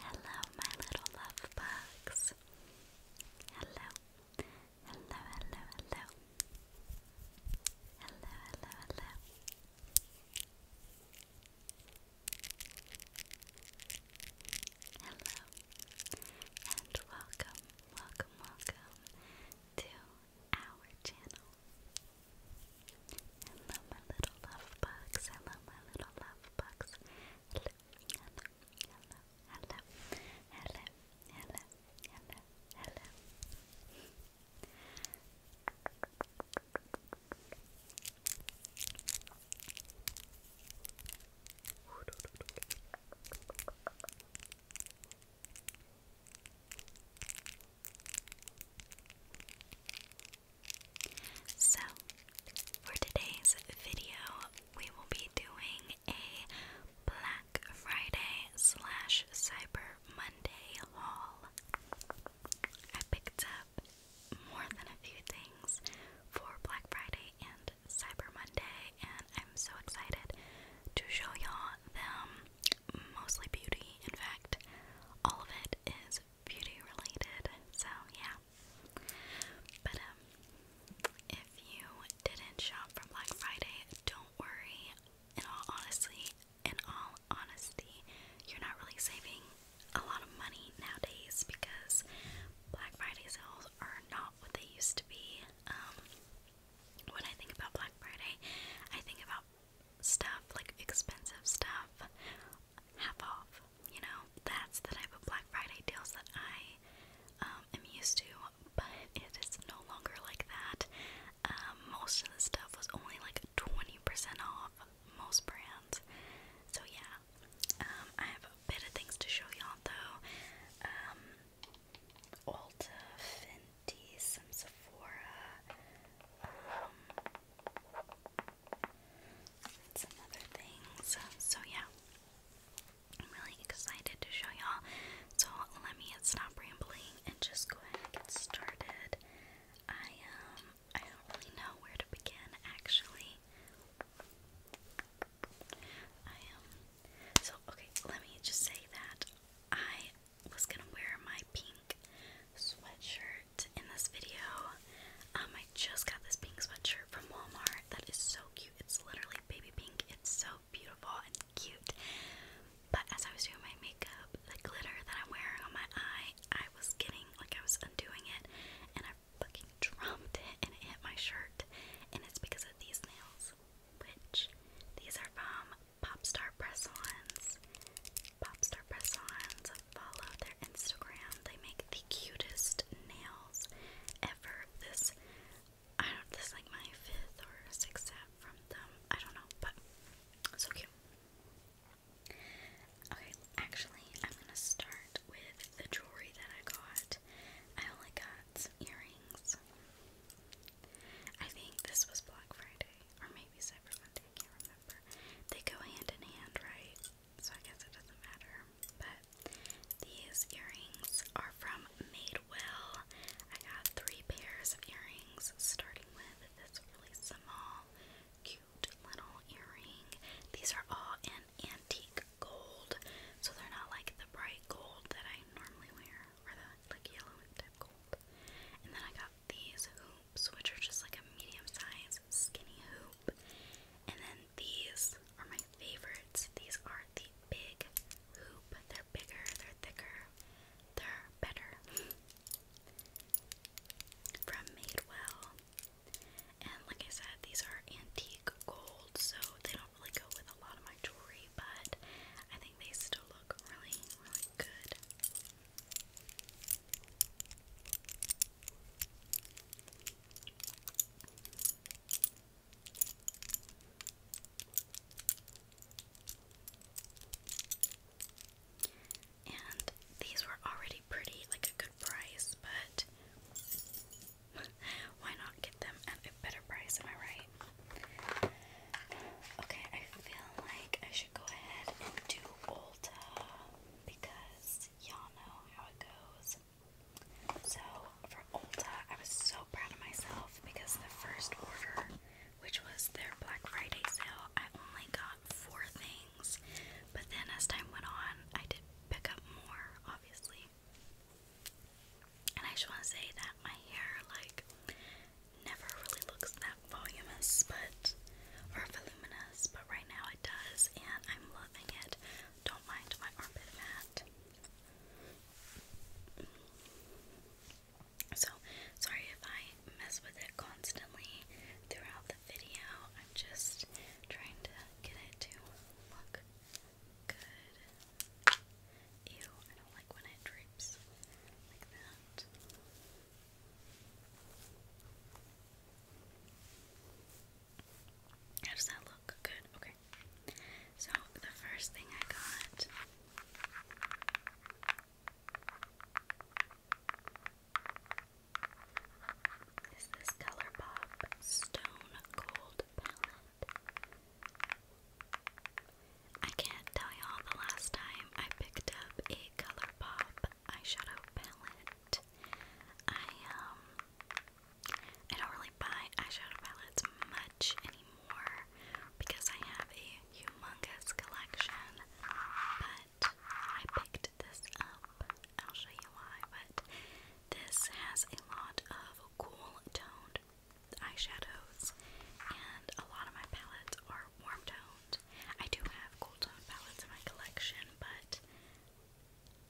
Hello, my little love bugs. Hello, hello, hello, hello. Hello, hello, hello. and welcome, welcome, welcome to our channel. I love my little love box. I love my little love box. Hello, hello, hello, hello, hello, hello, hello, hello. So, for today's video, we will be doing a Black Friday slash Cyber Monday haul. I picked up more than a few things for Black Friday and Cyber Monday, and I'm so excited to show y'all them mostly beauty. In fact, all of it is beauty related. So, yeah. But um if you didn't shop from Black Friday, don't worry. In all honestly, in all honesty, you're not really saving a lot of money nowadays because Black Friday sales are not what they used to be. Um when I think about Black Friday, I think about stuff, like expensive stuff, half off. You know, that's the type of Black Friday deals that I um, am used to, but it is no longer like that. Um, most of the stuff was only like 20% off, most brands. So, yeah, um, I have a bit of things to show y'all though. Um, Ulta, Finn teas, some Sephora, um, some other things. So yeah, I'm really excited to show y'all. So let me stop rambling and just go ahead and get started. I um I don't really know where to begin actually. I um so okay, let me just say that I was gonna wear my pink sweatshirt in this video. Um, I just got this pink sweatshirt from Walmart that is so cute. It's literally baby pink. It's so beautiful and cute. But as I was doing my makeup, the glitter that I'm wearing on my eye, I was getting like I was undoing it, and I fucking dropped it, and it hit my shirt. And it's because of these nails, which these are from Popstar Press Ons. Popstar Press Ons. Follow their Instagram. They make the cutest nails ever. This I don't this is like my fifth or sixth set from them. I don't know, but so cute. Okay, actually I'm gonna start with the jewelry that I got. I only got some earrings. I think this was Black Friday or maybe Cyber Monday. I They go hand in hand, right? So I guess it doesn't matter. But these earrings are from Madewell. I got three pairs of earrings, starting with this really small, cute little earring. These are all in antique gold, so they're not like the bright gold that I normally wear, or the like yellow type gold. And then I got these hoops, which are just like a medium size skinny hoop. And then these are my favorites. These are the big hoop. They're bigger, they're thicker, they're better. From Madewell. And like I said, these are antique gold, so they don't really go with a lot of my jewelry, but I think they still look really, really good. And these were already pretty, like a good price, but why not get them at a better price? Am I right? Okay, I feel like I should go ahead and do Ulta because y'all know how it goes. So, for Ulta, I was so proud of myself because the first order, which was their Black Friday sale, I only got four things. But then as time went on, I did pick up more, obviously. And I just want to say that my hair, like, never really looks that voluminous, but or voluminous, but right now it does, and I'm loving it. Don't mind my armpit mat. So sorry if I mess with it constantly throughout the video. I'm just trying to get it to look good. Ew, I don't like when it drapes like that. How does that look? Good, okay. So, the first thing I got is this ColourPop Stone Cold palette. I can't tell y'all the last time I picked up a color pop eyeshadow palette. I um I don't really buy eyeshadow palettes much anymore because I have a humongous collection. But I picked this up. I'll show you why, but this has a lot of cool toned eyeshadows and a lot of my palettes are warm toned. I do have cool tone palettes in my collection, but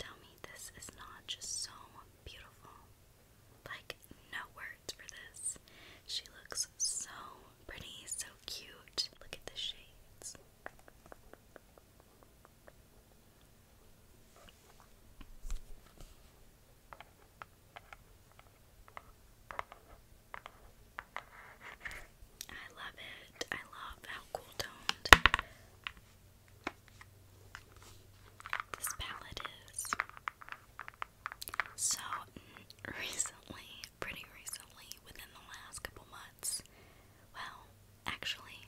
tell me this is not just so beautiful. Like, no words for this. She looks so pretty, so cute. Look at the shades. I love it. I love how cool toned this palette is. So, mm, recently, pretty recently, within the last couple months, well, actually,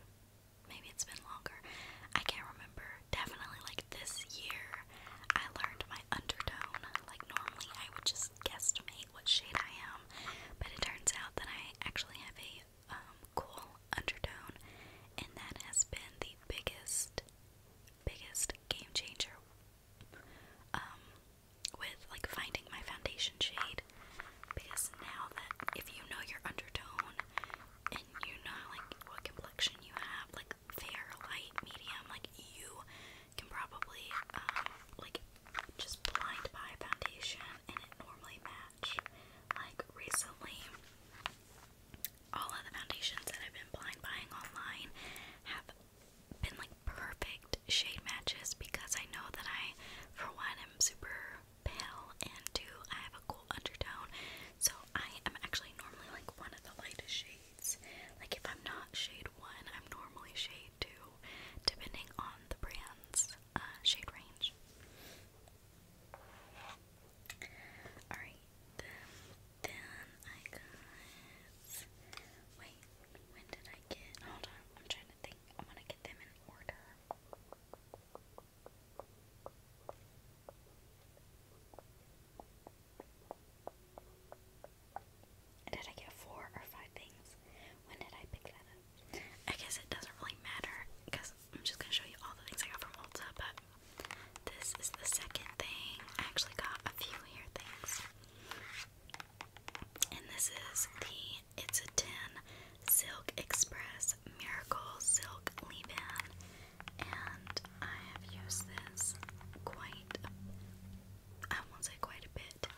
maybe it's been longer, I can't remember. Definitely, like this year, I learned my undertone. Like, normally, I would just guesstimate what shade I am, but it turns out that I actually have a um, cool undertone, and that has been the biggest, biggest game changer um, with like finding my foundation shade. Because now that if you know your undertone and you know like what complexion you have, like fair, light, medium, like you can probably um, like just blind buy foundation and it normally match. Like recently, all of the foundations that I've been blind buying online have been like perfect shade matches because I know that I, for one, am super pale and two, I have a cool undertone. So I am actually normally like one of the lightest shades. Like if I'm not shade one, I'm normally shade two depending on the brand's uh, shade range. Alright, then I got. Wait, when did I get. Hold on, I'm trying to think. I want to get them in order. Did I get four or five things? When did I pick that I guess it doesn't really matter because I'm just gonna show you all the things I got from Ulta, but this is the second thing. I actually got a few hair things. And this is the It's a 10 Silk Express Miracle Silk Leave-In. And I have used this quite, I won't say quite a bit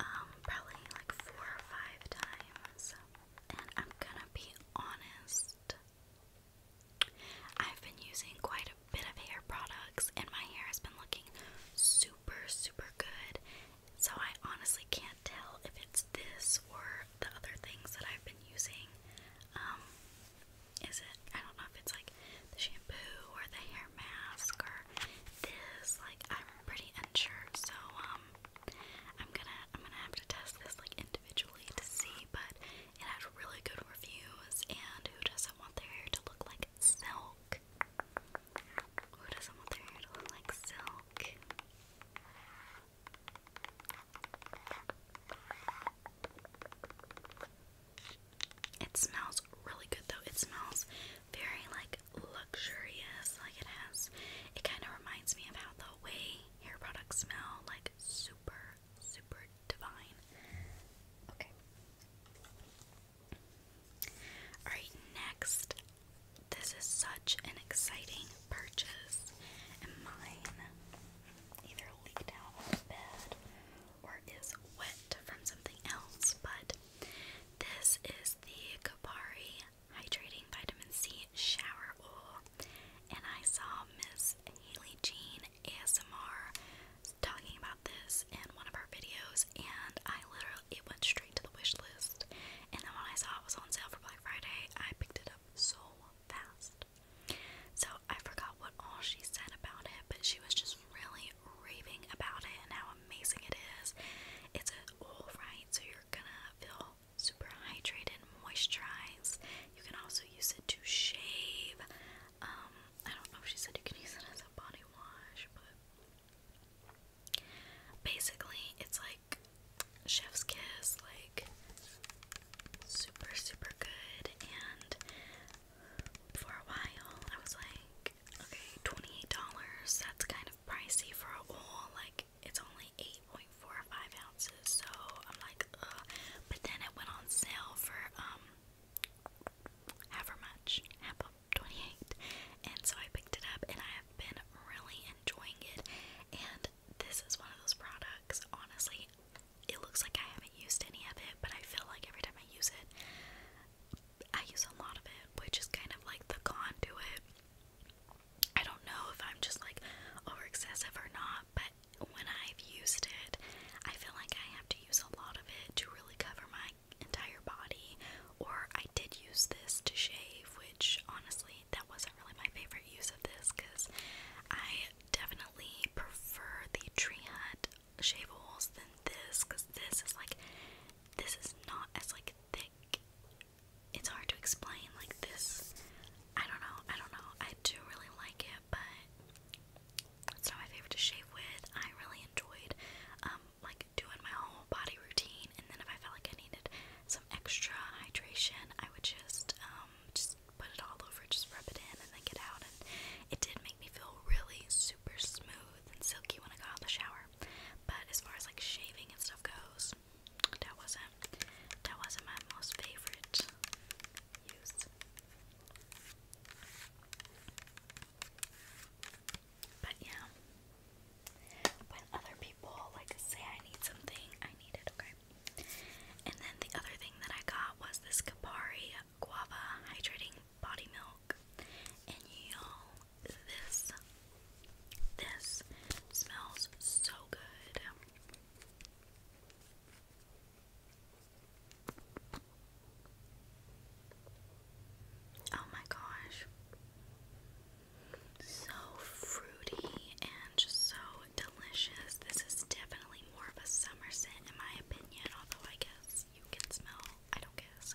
um, probably like four or five times. And I'm gonna be honest, I've been using quite a bit of hair products, and my hair has been looking super, super good. So I honestly can't tell if it's this or the other things that I've been using. Um, is it? I don't know if it's like the shampoo or the hair their mask or this. Like I'm pretty unsure, so um, I'm gonna I'm gonna have to test this like individually to see. But it had really good reviews, and who doesn't want their hair to look like silk? Who doesn't want their hair to look like silk? It smells really good though. It smells very like luxurious. Like it has it kind of reminds me about the way hair products smell like super super divine. Okay. All right, next. This is such an exciting purchase. And mine either leaked out of bed or is wet from something else, but this is the Kapari Hydrating Vitamin C Shower Oil, and I saw Miss Haley Jean ASMR talking about this in one of her videos, and I literally it went straight to the wish list. And then when I saw it was on sale for Black Friday, I picked it up so fast. So I forgot what all she said about it, but she was just really, raving about it and how amazing it is. It's an oil, right? So you're gonna feel super hydrated, moisturized. You can also use it to shave. Um, I don't know if she said you can use it as a body wash, but basically it's like chef's kiss, like super super good and for a while I was like Okay, twenty-eight dollars. That's kind of pricey for a wall. Like it's only eight point four five ounces. So I'm like, Ugh. but then it went on sale for um, however much, half of twenty-eight, and so I picked it up, and I have been really enjoying it. And this is one of those products. Honestly, it looks like I haven't used any of it, but I feel like every time I use it, I use a lot of it, which is kind of like the con to it. I don't know if I'm just like overexcessive or not, but when I've used it, I feel like I have to use a lot of it to really cover my entire body. Or I did use this to shave, which honestly, that wasn't really my favorite use of this because I definitely prefer the tree hut shaveables than this because this is like this is not as like thick. It's hard to explain like this. I don't know. I don't know. I do really like it, but it's not my favorite to shave with. I really enjoyed um, like doing my whole body routine and then if I felt like I needed some extra hydration, I would just um, just put it all over, just rub it in and then get out and it did make me feel really super smooth and silky when I got out of the shower. But as far as like shaving and stuff goes, that wasn't that wasn't my most favorite use. But yeah, when other people like say I need something, I need it, okay? And then the other thing that I got was this Kapari Guava Hydrating body milk. And y'all, this this smells so good. Oh my gosh. So fruity and just so delicious. This is definitely more of a summer scent in my opinion, although I guess you can smell, I don't guess,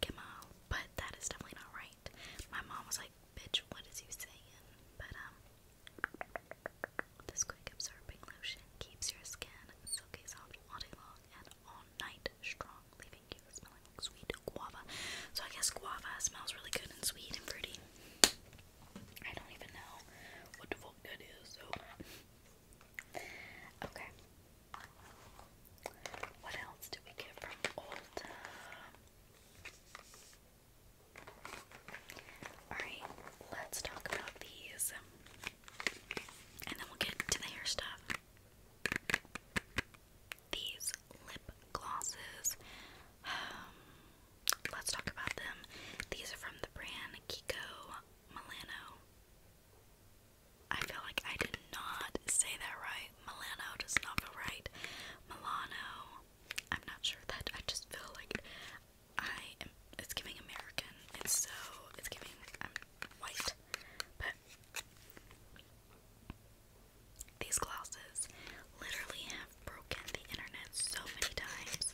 Kamal, but that is definitely not right. My mom was like, bitch, what is you saying? But, um, this quick absorbing lotion keeps your skin silky soft all day long and all night strong, leaving you smelling sweet guava. So I guess guava smells really good and sweet and fruity. I don't even know what the fuck that is, so Okay. What else do we get from Ulta? Alright, let's talk about these. And then we'll get to the hair stuff. These lip glosses. Um, let's talk about them. These are from the brand Kiko Milano. I feel like I did not say that right. Milano does not feel right. Milano. I'm not sure that I just feel like I am it's giving American. It's so it's giving white. But these glasses literally have broken the internet so many times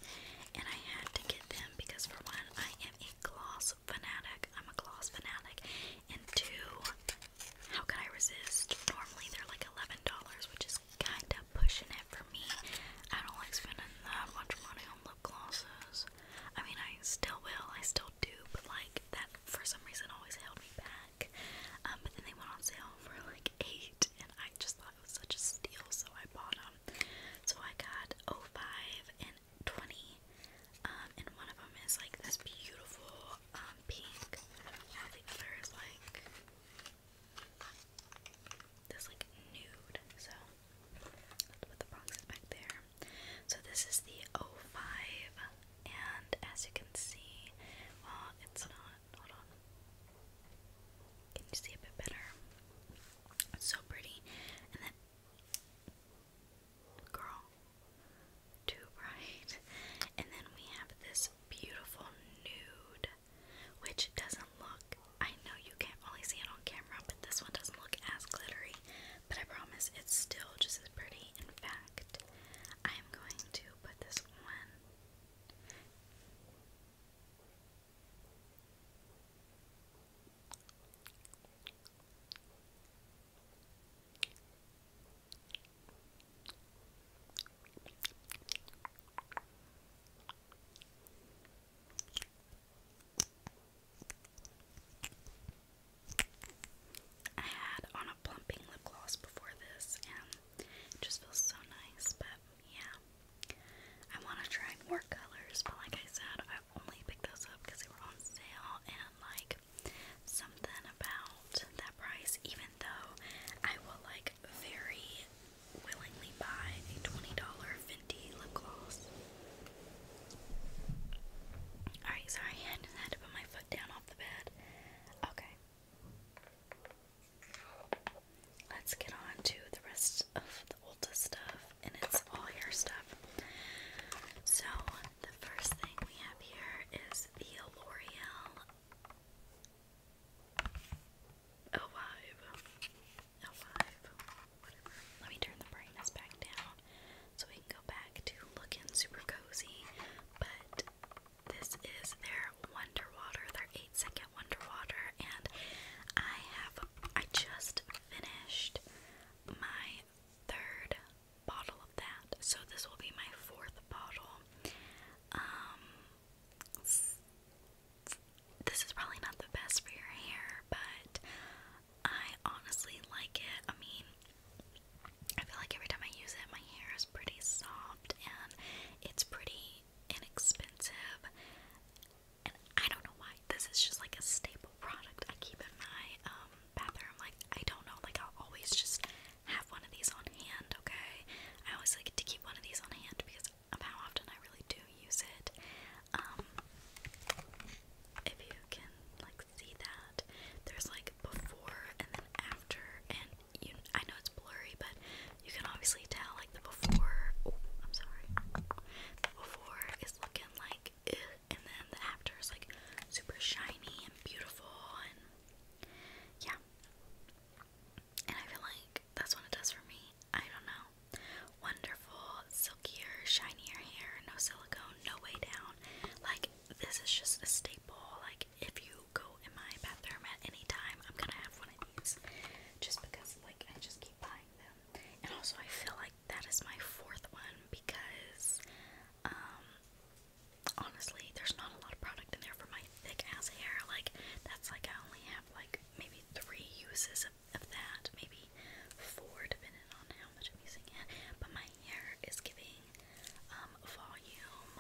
and I had to get them because for one I am a glass fanatic. I'm a glass fanatic and two, how could I resist? Normally they're like eleven dollars, which is kind of pushing it for me. I don't like spending that much money on lip glosses. I mean, I still will, I still do, but like that for some reason always held me back. Um, but then they went on sale for like eight, and I just thought it was such a steal, so I bought them. So I got 05 and twenty, um, and one of them is like this beautiful um, pink, the other is like this like nude. So let's put the boxes back there. So this is the 05 and as you can see, well it's not hold on. Can you see a bit better? so pretty. And then girl, too bright. And then we have this beautiful nude, which doesn't look, I know you can't really see it on camera, but this one doesn't look as glittery. But I promise it's still just as pretty. In fact, I am going to put this one. I had on a plumping lip gloss before this, and it just feels so nice. But yeah, I want to try more colors, but like I said, I I only picked those up because they were on sale and like something about that price, even though I will like very willingly buy a $20 Fenty lip gloss. Alright, sorry, I had to put my foot down off the bed. Okay. Let's get on to the rest of the Ulta stuff, and it's all hair stuff. So, the first thing we have here is the L'Oreal Alive. Alive. Whatever. Let me turn the brightness back down so we can go back to looking super cozy. But this is their Wonder Water, their 8 second Wonder Water, and I have I just finished my third bottle of that. So this will be my fourth bottle. Um, this is probably not the best for your hair, but I honestly like it. I mean, I feel like every time I use it, my hair is pretty soft and it's pretty inexpensive. And I don't know why. This is just like a staple product I keep in my um, bathroom. Like I don't know, like i always just have one of these on hand, okay? I always like to keep one of these on hand because of how often I really do use it. Um, if you can like see that. There's like before and then after and you I know it's blurry but you can obviously tell like the before oh I'm sorry. The before is looking like ugh, and then the after is like super shiny and beautiful and yeah. And I feel like that's what it does for me. I don't know. Wonderful, silkier, shinier hair, no silicone, no way down. Like this is just a staple. Like if you go in my bathroom at any time, I'm gonna have one of these. Just because like I just keep buying them. And also I feel like that is my fourth one because um, honestly there's not a lot of product in there for my thick as hair. Like that's like I only have like maybe three uses of, of that, maybe four depending on how much I'm using it. But my hair is giving um, volume.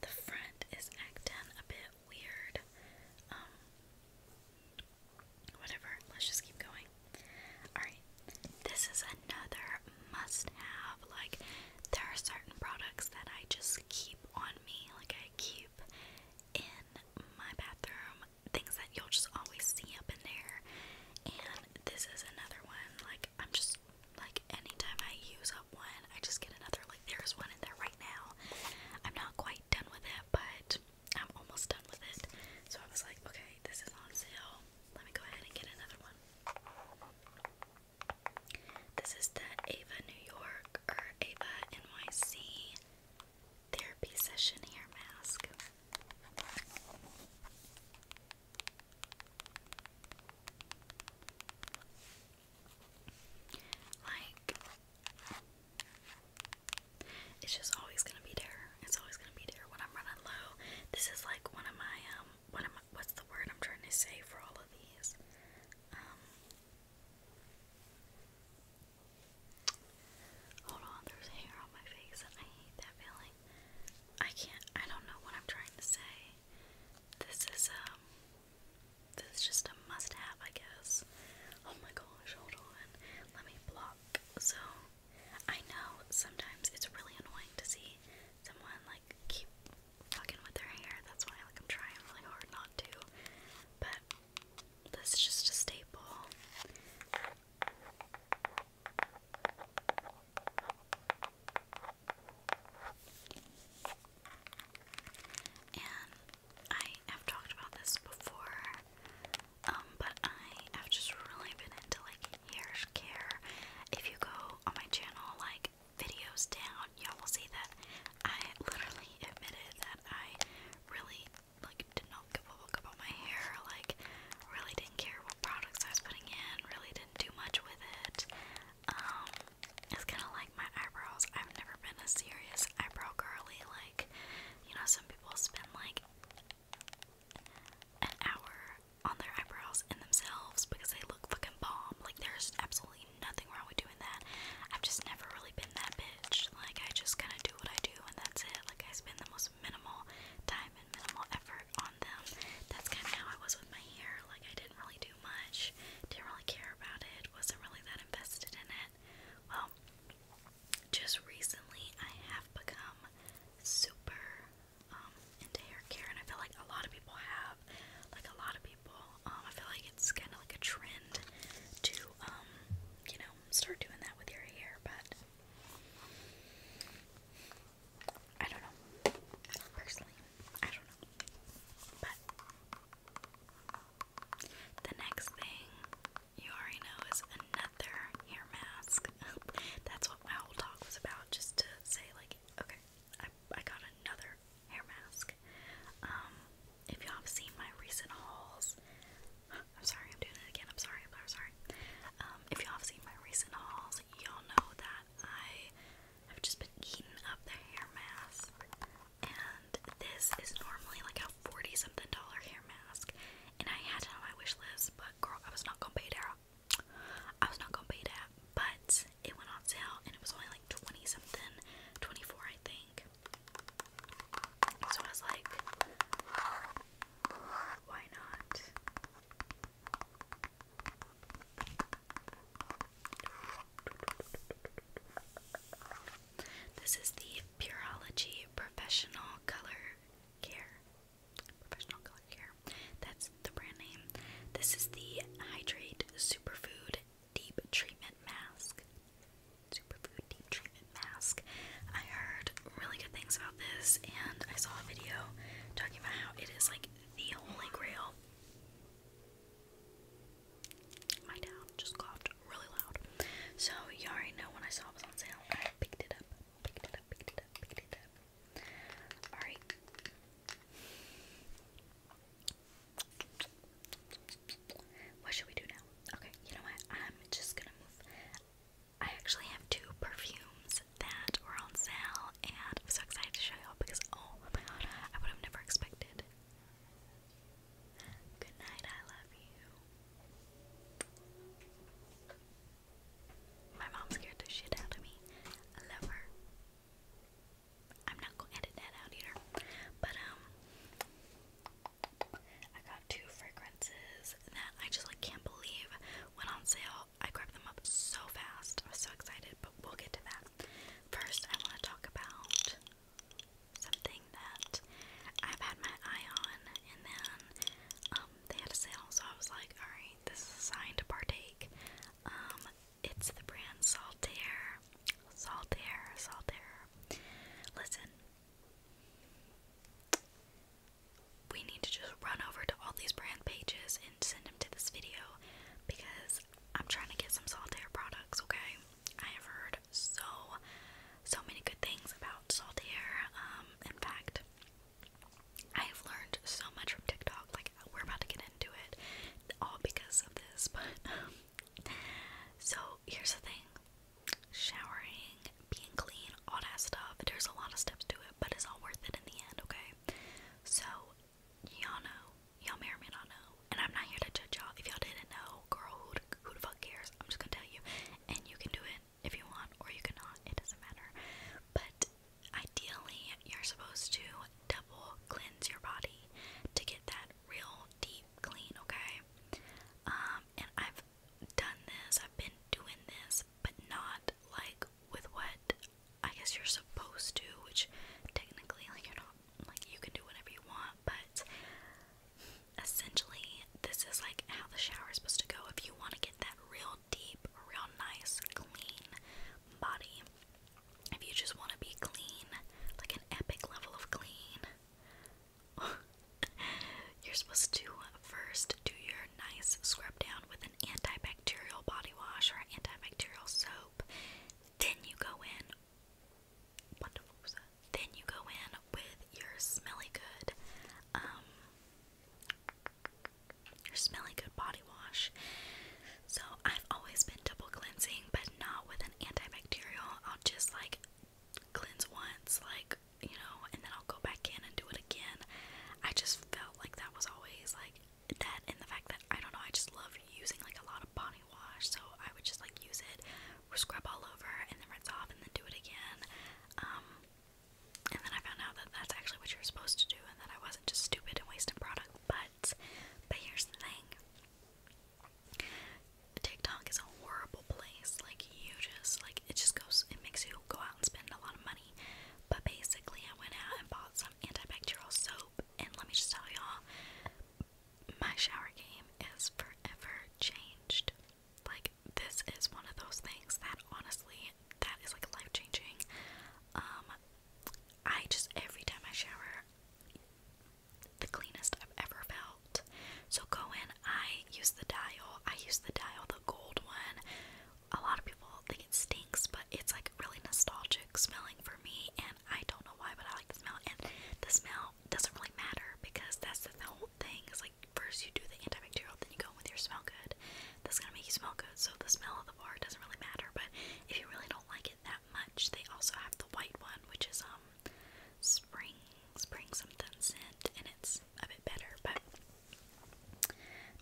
The front is acting a bit weird. Um, whatever, let's just keep going. Alright, this is another must have. Like, there are certain products that I just keep on me, like, I keep in my bathroom things that you'll just always see up in there. And this is another one. Like, I'm just like, anytime I use up one, I just get another. Like, there's one in there right now. I'm not quite done with it, but I'm almost done with it. So I was like, okay, this is on sale. Let me go ahead and get another one. This is the Ava New York or Ava NYC therapy session hair mask. Like, it's just always gonna be there. It's always gonna be there when I'm running low. This is like one of my um what am I, what's the word I'm trying to say for all of these? Um, hold on, there's hair on my face and I hate that feeling. I can't I don't know what I'm trying to say. This is um this is just a must have I guess. Oh my gosh, hold on. Let me block. So I know sometimes it's really annoying to see someone like keep fucking with their hair. That's why like I'm trying really hard not to. But that's just a staple. And I have talked about this before, um, but I have just really been into like hair care. If you go on my channel, like videos down, y'all will see that I literally admitted that I really like did not give a look about my hair, like really didn't care what products I was putting in, really didn't do much with it. Um, it's kind of like my eyebrows. I've never been a serious eyebrow girly. Like, you know, some people spend like an hour on their eyebrows and themselves because they look fucking bomb. Like, there's absolutely nothing wrong with doing that. I've just never really been that bitch. Like, I just kind of do what I do and that's it. Like, I spend the most minimal time and minimal effort on them. That's kind of how I was with my hair. Like, I didn't really do much, didn't really care about it, wasn't really that invested in it. Well, just recently I have become super um, hair care, and I feel like a lot of people have. Like a lot of people, um, I feel like it's kind of like a trend to, um, you know, start doing that with your hair, but I don't know. Personally, I don't know. But the next thing you already know is another hair mask. That's what my whole talk was about, just to say, like, Okay, I, I got another hair mask. Um, if y'all have seen my recent hauls, I'm sorry, I'm doing it again. I'm sorry, I'm sorry, Um, if y'all have seen my recent hauls, y'all know that I have just been eating up the hair mask. And this is normally like a 40 something dollar hair mask. And I had it on my wish list, but girl, I was not gonna pay Dara. I was not gonna pay that, but it went on sale and it was only like 20 something, 24 I think. So I was like, why not? This is the Purology Professional Color Care Professional Color That's the brand name. This is the Hydrate Superfood Deep Treatment Mask. Superfood Deep Treatment Mask. I heard really good things about this, and I saw a video talking about how it is like the holy grail. My dad just coughed really loud. So you already know when I saw it on sale, I picked it up, picked it up, picked it up, picked it up. Alright. What should we do now? Okay, you know what? I'm just gonna I actually have two perfumes that were on sale, and I'm so excited to show y'all because oh my god, I would have never expected. Good night, I love you. My mom scared the shit out of me. I love her. I'm not gonna edit that out either. But um I got two fragrances that I just like can't believe went on sale. I grabbed them up so fast. I was so excited, but we'll get to that. First I wanna talk about something that I've had my eye on and then um they had a sale so I was like, alright, this is a sign to partake. Um, it's the brand Saltaire. Saltaire, Saltaire. Listen. We need to just run over to all these brand pages and send them to this video because I'm trying to get some Saltaire products, okay? I have heard so, so many good things about Saltaire. Um, in fact, I have learned so much from TikTok. Like we're about to get into it, all because of this. But um, so here's the thing: showering, being clean, all that stuff. There's a lot of steps to it, but it's all worth it in the end. Okay. So y'all know, y'all may or may not know, and I'm not here to judge y'all. If y'all didn't know, girl, who the, who the fuck cares? I'm just gonna tell you, and you can do it if you want or you cannot. It doesn't matter. But Ideally, you're supposed to double cleanse your body to get that real deep clean, okay? Um, and I've done this, I've been doing this, but not like with what I guess you're supposed to, which technically, like, you're not, like, you can do whatever you want, but essentially, this is like how the shower is supposed to go. If you want to get that real deep, real nice, clean body. If you just want to be clean, like an epic level of clean, you're supposed to first do your nice scrub down with an antibacterial body wash or antibacterial soap. Then you go in. What Then you go in with your smelly good um, you're smelling good body wash. So I've always been double cleansing, but not with an antibacterial. I'll just like cleanse once, like you know, and then I'll go back in and do it again. I just felt like that was always like that, and the fact that I don't know, I just love using like a lot of body wash, so I would just like use it, scrub all over, and then rinse off, and then do it again. Um, and then I found out that that's actually what you're supposed to do, and that I wasn't just stupid and wasting product, but but here's the thing. TikTok is a horrible place. Like you just like it just goes it makes you go out and spend a lot of money. But basically I went out and bought some antibacterial soap and let me just tell y'all my shower game is forever changed. Like this is one of those things that honestly that is like life changing. Um I just every time I shower, the cleanest I've ever felt. So go in. I use the dial. I use the dial, the gold one. A lot of people think it stinks, but it's like really nostalgic smelling for me, and I don't know why, but I like the smell. And the smell doesn't really matter because that's the whole thing. It's like first you do the antibacterial, then you go in with your smell good. That's gonna make you smell good. So the smell of the bar doesn't really matter. But if you really don't don't like it that much. They also have the white one, which is um spring spring something scent, and it's a bit better. But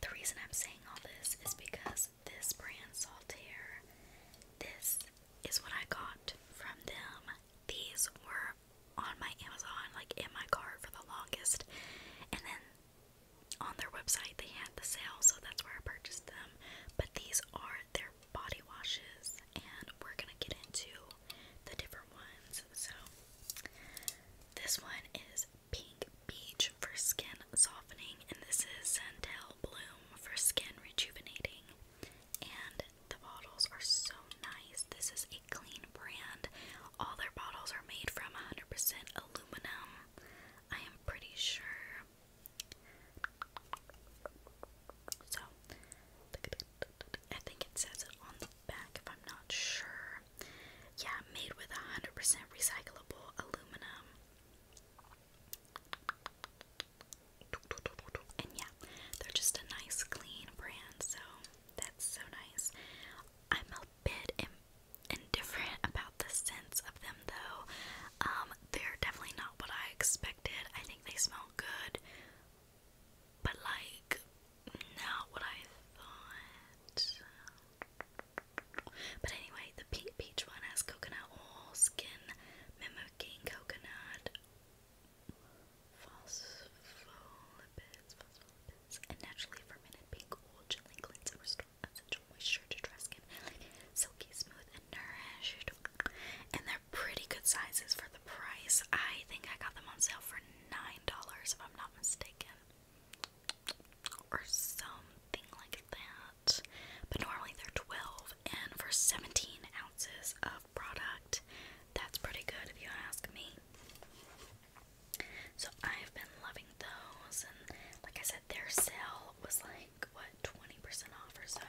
the reason I'm saying all this is because this brand Saltaire, this is what I got from them. These were on my Amazon, like in my cart for the longest, and then on their website they had the sale, so that's where I purchased them. But these are their body washes, and we're gonna get into the different ones. So, this one is Pink Beach for skin softening, and this is Santel Bloom for skin rejuvenating. And the bottles are so nice. This is a clean brand. All their bottles are made from 100% aluminum. I am pretty sure so, I think it says it on the back if I'm not sure. Yeah, made with 100% recyclable aluminum. And yeah, they're just a nice, clean brand, so that's so nice. I'm a bit and different about the scents of them though. Um, they're definitely not what I expected. I think they smell good, but like not what I thought. But anyway, the pink peach one has coconut oil, skin mimicking coconut, phospholipids, phospholipids, and naturally fermented pink oil, gently cleanse and restore essential moisture to dry skin, silky smooth and nourished. And they're pretty good sizes for the price. I think I got them on sale for nine dollars, if I'm not mistaken, or something like that. But normally they're twelve, and for seventeen ounces of product, that's pretty good if you ask me. So I've been loving those, and like I said, their sale was like what 20% off or so.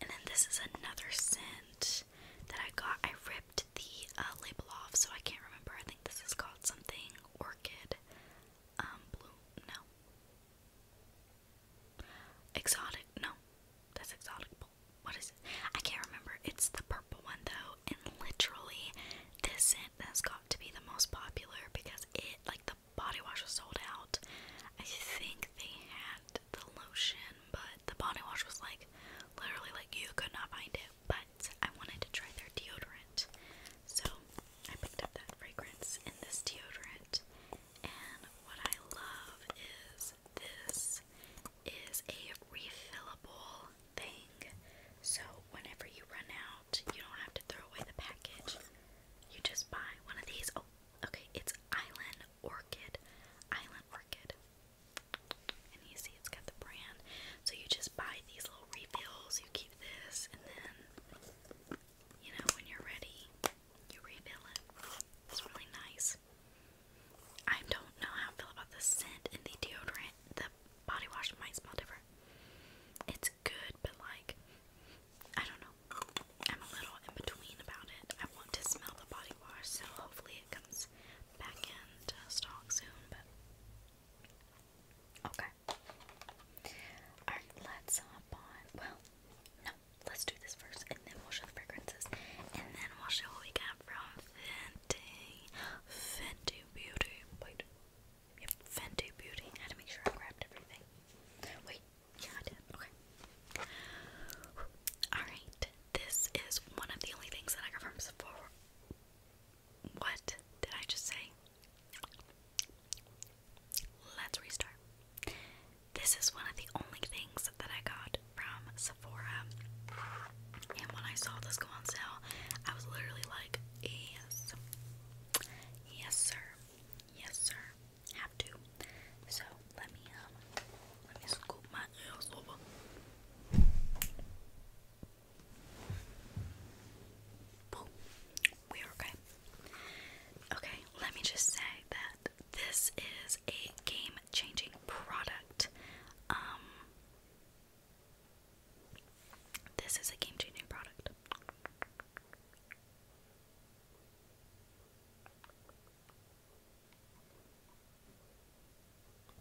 And then this is another scent that I got. I ripped the uh, label off, so I can't remember. I think this is called something orchid, um, blue. No, exotic. No, that's exotic. What is it? I can't remember. It's the purple one though, and literally, this scent has got to be the most popular because it, like, the body wash was sold out. I think they had the lotion, but the body wash was like literally like you could not find it. But I wanted to try their deodorant, so I picked up that fragrance in this deodorant. And what I love is this is a refillable thing, so whenever you run out, you don't have to throw away the package you just buy one of these. Oh, okay, it's Island Orchid. Island Orchid. And you see it's got the brand. So you just buy these little refills, you keep this, and then, you know, when you're ready, you refill it. It's really nice. I don't know how I feel about the scent in the deodorant. The body wash might smell different. It's good, but like, I don't know. I'm a little in between about it. I want to smell the body wash, so hopefully it comes back in stock soon, but okay. Alright, let's hop on. Well, no, let's do this first, and then we'll show the fragrances, and then we'll show what we got from Fenty. Fenty Beauty. Wait. Fenty Beauty. had to make sure I grabbed everything. Wait, yeah, I did. Okay. Alright, this is one of the only things that I got from Sephora. What did I just say? Let's restart. This is one of the only things that I got from Sephora. And when I saw this go on sale, I was literally like, yes. Yes, sir. Yes, sir. Have to. So let me um let me scoop my nails over. We're okay. Okay, let me just say that this is a game changing product. Um this is a game changing product.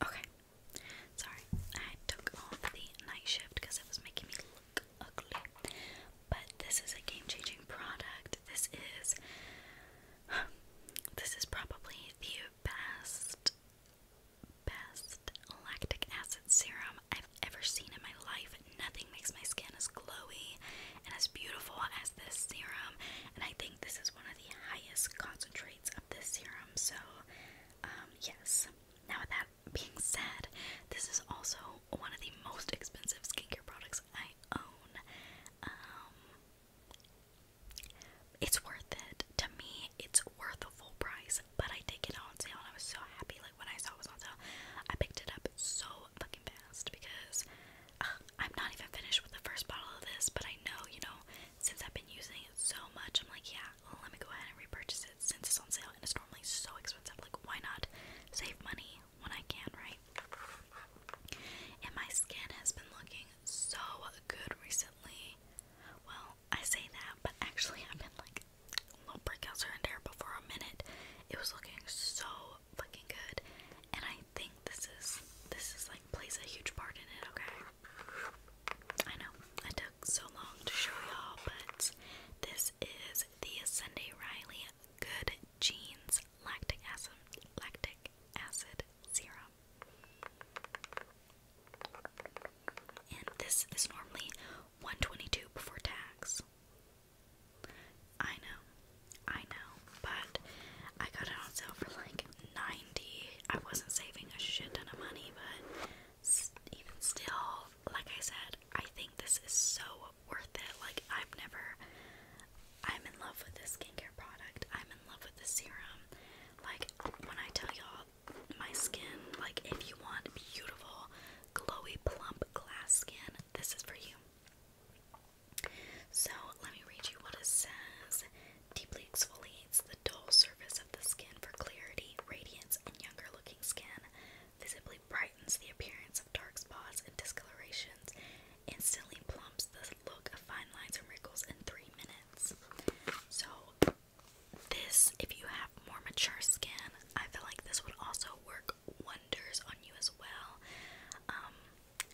Okay. Sorry, I took off the night shift because it was making me look ugly. But this is a game-changing product. This is this is probably the best best lactic acid serum I've ever seen in my life. Nothing makes my skin as glowy and as beautiful as this serum, and I think this is one of the highest concentrates of this serum. So, um, yes. Now, with that being said, this is also one of the most expensive skincare products I own. Um, it's worth it. To me, it's worth the full price, but I did get it on sale and I was so happy when I saw it was on sale, I picked it up so fucking fast because I'm not even finished with the first bottle of this, but I know, you know, since I've been using it so much, I'm like, yeah, let me go ahead and repurchase it since it's on sale and it's normally so expensive. Like, why not save money when I can, right? And my skin has been looking so good recently. Well, I say that, but actually, I've been like little breakouts here and for a minute, it was looking so fucking good. And I think this is this is like plays a huge part in it. Okay, I know I took so long to show y'all, but this is the Sunday Riley Good Jeans Lactic Acid Lactic Acid Serum. And this is normally 122 before tax. I know, I know, but I got it on sale for like 90. I wasn't saving a shit ton of money, but even still, like I said, I think this is so worth it. Like, I've never, I'm in love with this skincare product, I'm in love with the serum. Like, when I tell y'all my skin, like, if you want beautiful, Glowy Plump Glass Skin. This is for you. So, let me read you what it says. Deeply exfoliates the dull surface of the skin for clarity, radiance, and younger looking skin. Visibly brightens the appearance of dark spots and discolorations. Instantly plumps the look of fine lines and wrinkles in three minutes. So, this, if you have more mature skin, I feel like this would also work wonders on you as well. Um,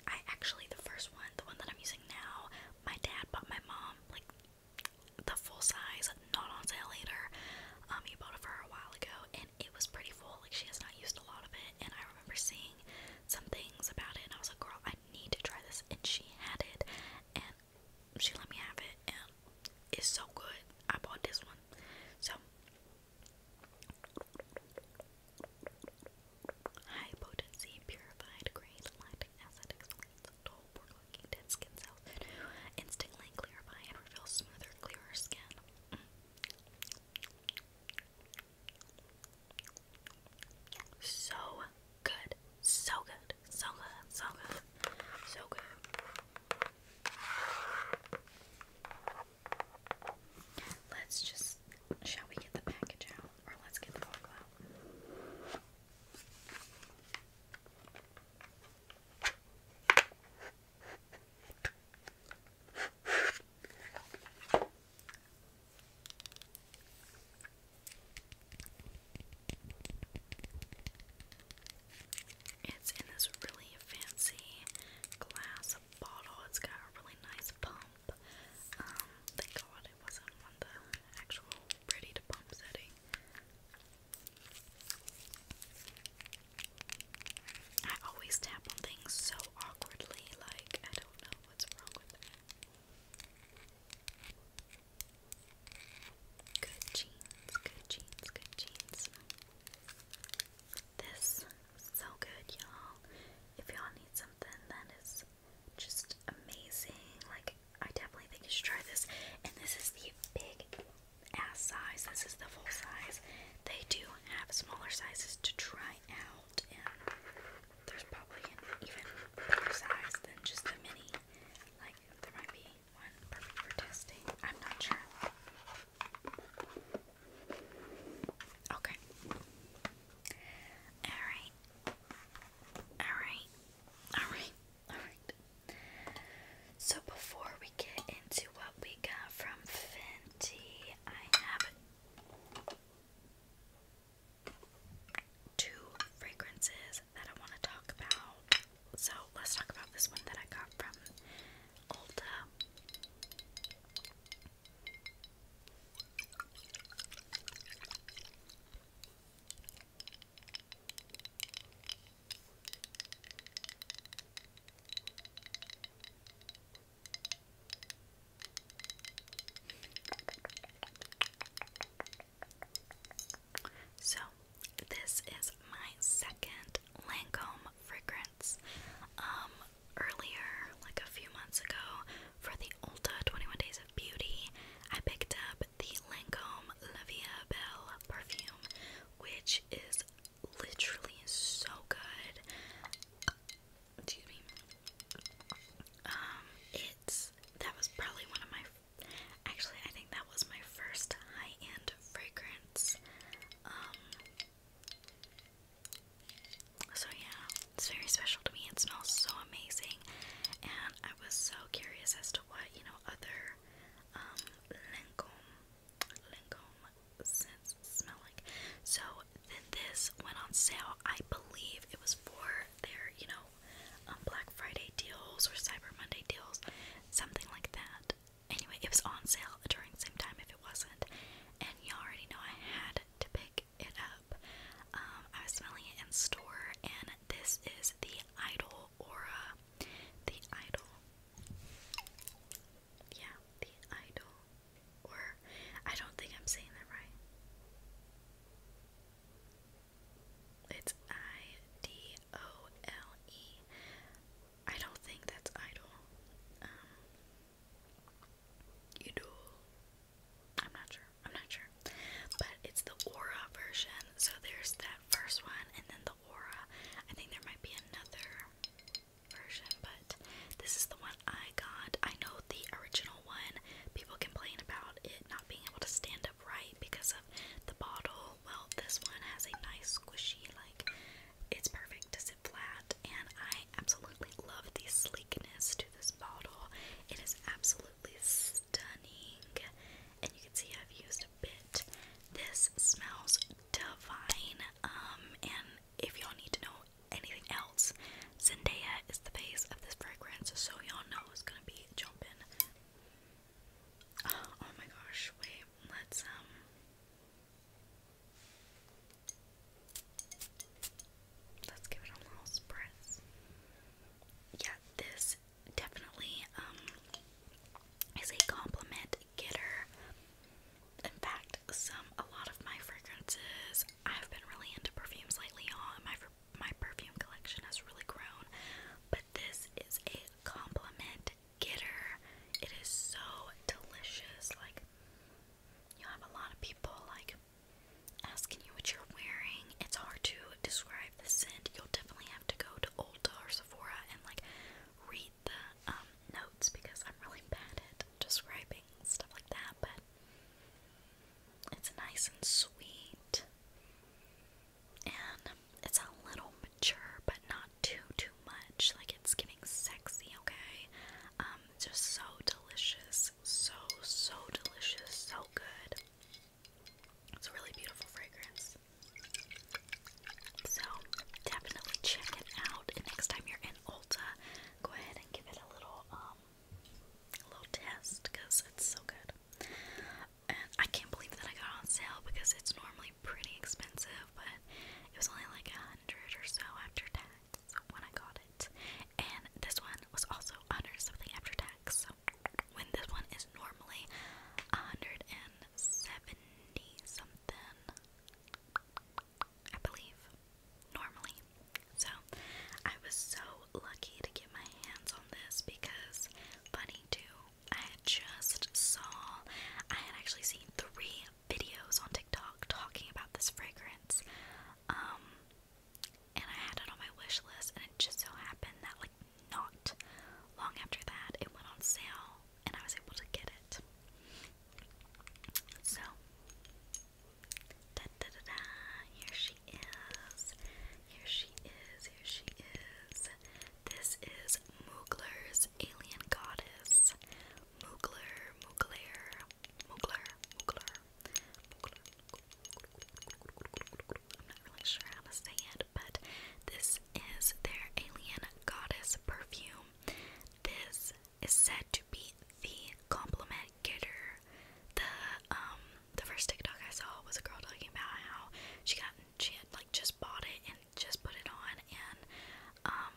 I actually, the first one, the one that I'm using now, my dad bought my mom, like, the full size, not on sale later. Um, he bought it for a while ago, and it was pretty full. Like, she has not used a lot of it, and I remember seeing some things about it, and I was like, girl, I need to try this, and she had it, and she let me have it, and it's so good. I bought this one. So, High purified grain lactic acid exfoliates dull, poor dead skin cells, instantly clarify and reveal smoother, clearer skin. So good, so good, so good, so good, so good. Let's just, shall we get the package out? Or let's get the bottle out. It's in this really fancy glass bottle. It's got a really nice pump. Um, thank God it wasn't on the actual ready to pump setting. I always tap on things so awkwardly, like, I don't know what's wrong with that. Good jeans, good jeans, good jeans. This so good, y'all. If y'all need something that is just amazing, like I definitely think you should try this. And this is the big ass size. This is the full size. They do have smaller sizes to try out, and there's probably an even bigger size than just the mini. Like there might be one perfect for testing. I'm not sure. Okay. Alright. Alright. Alright. Alright. So before we get into what we got from Fenty, I have two fragrances that I want to talk about. So let's talk about this one that I got from Ulta. So, this is my second Lancome fragrance. Um, earlier, like a few months ago, for the Ulta 21 Days of Beauty, I picked up the Lancome La Via Belle perfume, which is literally so good. Excuse me. Um, it's that was probably one of my actually, I think that was my first high end fragrance. Um, so, yeah, it's very special to me. It smells so amazing, and I was so curious as to what, you know, other um, Lancome, Lancome scents smell like. So, this went on sale. I believe it was for their, you know, um, Black Friday deals or Cyber Monday deals, something like that anyway, it was on sale during the same time if it wasn't. And you already know I had to pick it up. Um, I was smelling it in store, and this is the Idol Aura. The Idol. Yeah, the Idol. Or, I don't think I'm saying that right. It's I D O L E. I don't think that's idol. Um, Yudul. I'm not sure. I'm not sure. But it's the Aura version. So there's that first one and then the Aura. I think there might be another version, but this is the one I got. I know the original one, people complain about it not being able to stand up right because of the bottle. Well, this one has a nice squishy, like it's perfect to sit flat, and I absolutely love the sleekness to this bottle. It is absolutely stunning, and you can see I've used a bit. This smells divine, um, and if y'all need to know anything else, Zendaya is the face of this fragrance, so y'all know it's gonna be jumping. Ah, oh, my gosh, wait, let's, um, Let's give it a little spritz. Yeah, this definitely um is a compliment getter. In fact, some a lot of my fragrances I've been really into perfumes lately. On my my perfume collection has really grown, but this is a compliment getter. It is so delicious, like You'll have a lot of people like asking you what you're wearing. It's hard to describe the scent. You'll definitely have to go to Ulta or Sephora and like read the um, notes because I'm really bad at describing stuff like that, but it's nice and sweet. And it's a little mature, but not too, too much. Like, it's giving sexy, okay? Um, um, just so delicious, so so delicious, so good. It's a really beautiful fragrance. So definitely check it out. And next time you're in Ulta, go ahead and give it a little um little test because it's so good. And I can't believe that I got on sale because it's normally pretty expensive, but it was only like a hundred or so after tax when I got it. And this one was also 100 something after tax. So when this one is normally 170 something, I believe, normally. So I was so lucky to get my hands on this because funny too, I had just saw I had actually seen three videos on TikTok talking about this fragrance. Um, and I had it on my wish list, and it just so happened that, like, not long after that, it went on sale, and I was able to get it. So, here she is. Here she is, here she is. This is Moogler's Alien Goddess. Moogler, Moogler, Mugler, Mugler, Mugler. I'm not really sure how to say it, but this is their Alien Goddess perfume. This is said to be the compliment getter. The um the first TikTok I saw was a girl talking about how she got she had like just bought it and just put it on and um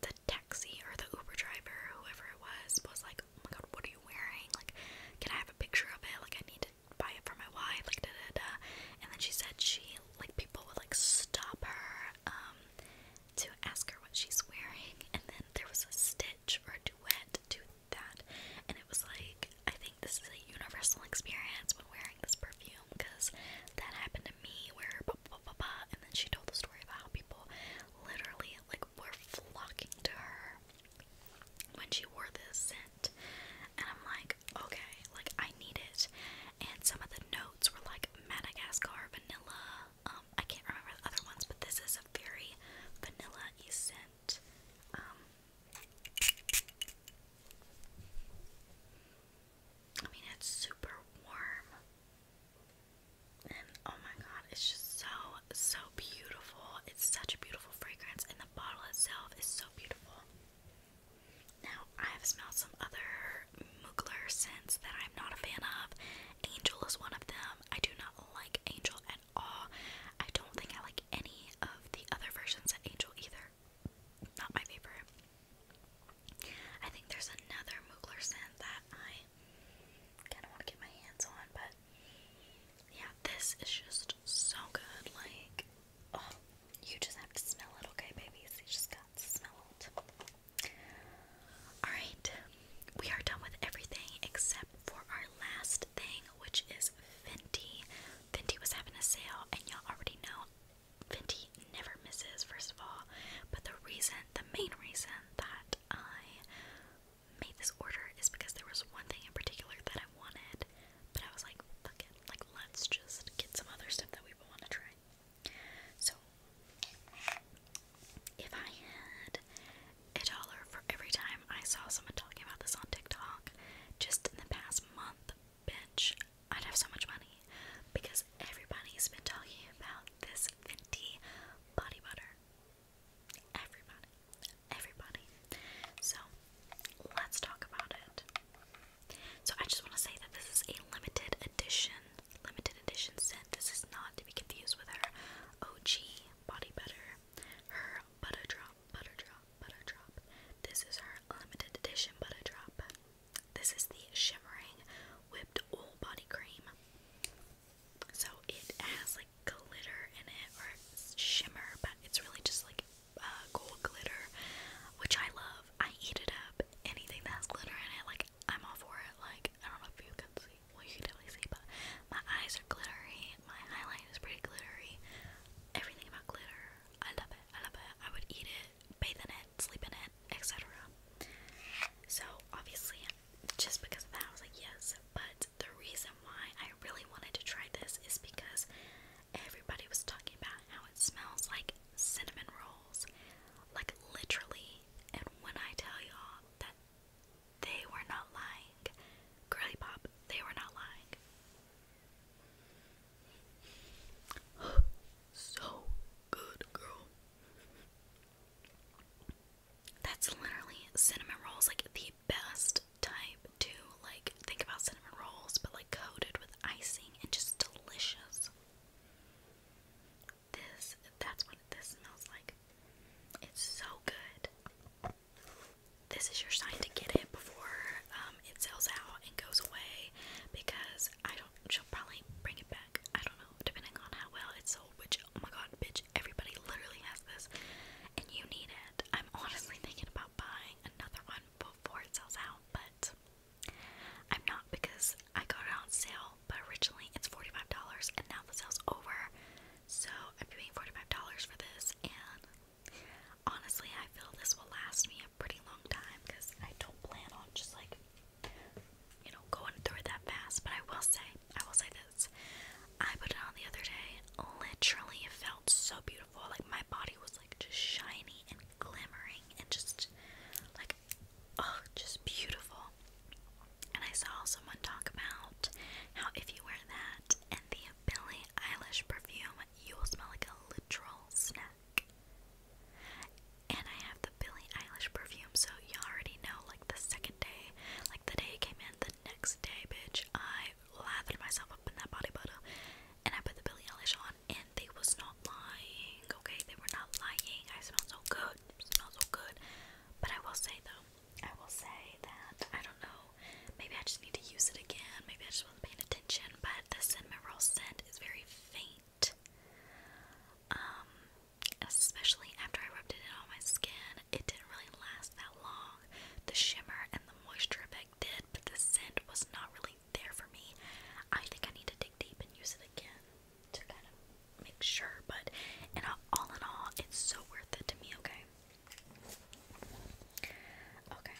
the taxi or the Uber driver, whoever it was, was like, "Oh my god, what are you wearing? Like, can I have a picture of it? Like, I need to buy it for my wife." Like, da da da. And then she said she like people would like stop her um to ask her what she's wearing, and then there was a stitch or a duet to that, and it was like, I think this is a universal experience when wearing this perfume because that happened to me where and then she told the story about how people literally like were flocking to her when she wore this scent and I'm like okay like I need it and some of the notes were like Madagascar vanilla um, I can't remember the other ones but this is a very vanilla scent um, I mean, it's super warm oh my god, it's just so, so beautiful. It's such a beautiful fragrance, and the bottle itself is so beautiful. Now, I have smelled some other Mugler scents that I'm not a fan of. Angel is one of them. I do not like Angel at all. I don't think I like any of the other versions of Angel either. Not my favorite. I think there's another Mugler scent that I kind of want to get my hands on, but yeah, this is just so good. Like, oh, you just have to smell it, okay, babies? You just got to Alright, we are done with everything except for our last thing, which is Fenty. Fenty was having a sale, and y'all already know Fenty never misses, first of all. But the reason, the main reason that I made this order is because there was one thing in particular that I wanted, but I was like, fuck it, like let's just get some other stuff that we want to try. So, if I had a dollar for every time I saw someone talking about this on TikTok just in the past month, bitch, I'd have so much money because everybody's been talking about this Fenty body butter. Everybody, everybody. So let's talk about it. So I just want to say that this is a limited edition, limited edition scent. This is not to be confused with her OG body butter, her butter drop, butter drop, butter drop. This is her limited edition butter drop. This is the shimmering whipped oil body cream. So it has like glitter in it or shimmer, but it's really just like uh, gold glitter, which I love. I eat it up. Anything that has glitter in it, like I'm all for it. Like I don't know if you can see, well you can definitely see, but my eyes are glittery. My highlight is pretty glittery. Everything about glitter, I love it. I love it. I would eat it, bathe in it, sleep in it, etc. So obviously just because of that, I was like, yes. But the reason why I really wanted to try this is because everybody was talking about how it smells like cinnamon rolls. Like, literally. And when I tell y'all that they were not lying, Girly Pop, they were not lying. so good, girl. That's literally cinnamon rolls, like the best type to like think about cinnamon rolls, but like coated with icing and just delicious. This that's what this smells like. It's so good. This is your sign to get it before um, it sells out and goes away because I don't she'll probably bring it back. I don't know, depending on how well it's sold, which, oh my god, bitch, everybody literally has this, and you need it. I'm honestly thinking about buying another one before it sells out, but I'm not because I got it on sale, but originally it's $45, and now the sale's over, so I'm paying $45 for this, and honestly, I feel this will last me a pretty long time, because I don't plan on just, like, you know, going through it that fast. But I will say, I will say this. I put it on the other day. Literally, it felt so beautiful. Like my body was like just shiny and glimmering and just like, oh, just beautiful. And I saw someone talk about how if you wear that and the Billy Eilish perfume, you will smell like a literal snack. And I have the Billie Eilish perfume, so you already know like the second day, like the day it came in, the next day, bitch, I lathered myself up in that body butter and I put the Billy Eilish on, and they was not lying, okay? They were not lying. I smell so good, smell so good. But I will say though, I will say that I don't know. Maybe I just need to use it again. Maybe I just wasn't paying attention. But the cinnamon roll scent is very faint. Um, especially after I rubbed it in on my skin. It didn't really last that long. The shimmer and the moisture effect did, but the scent was not really there for me. I think I need to dig deep and use it again to kind of make sure, but and all in all, it's so worth it to me, okay? Okay.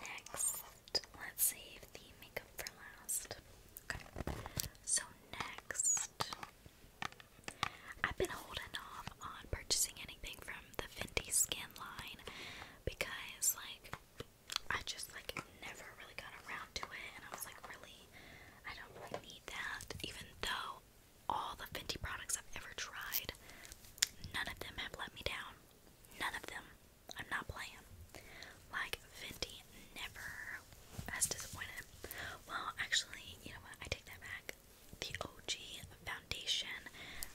Next, let's save the makeup for last. Okay. So next. I've been holding off on purchasing anything from the Fenty Skin line because, like, I just like never really got around to it, and I was like, really, I don't really need that. Even though all the Fenty products I've ever tried, none of them have let me down. None of them. I'm not playing. Like, Fenty never has disappointed. Well, actually, you know what? I take that back. The OG foundation,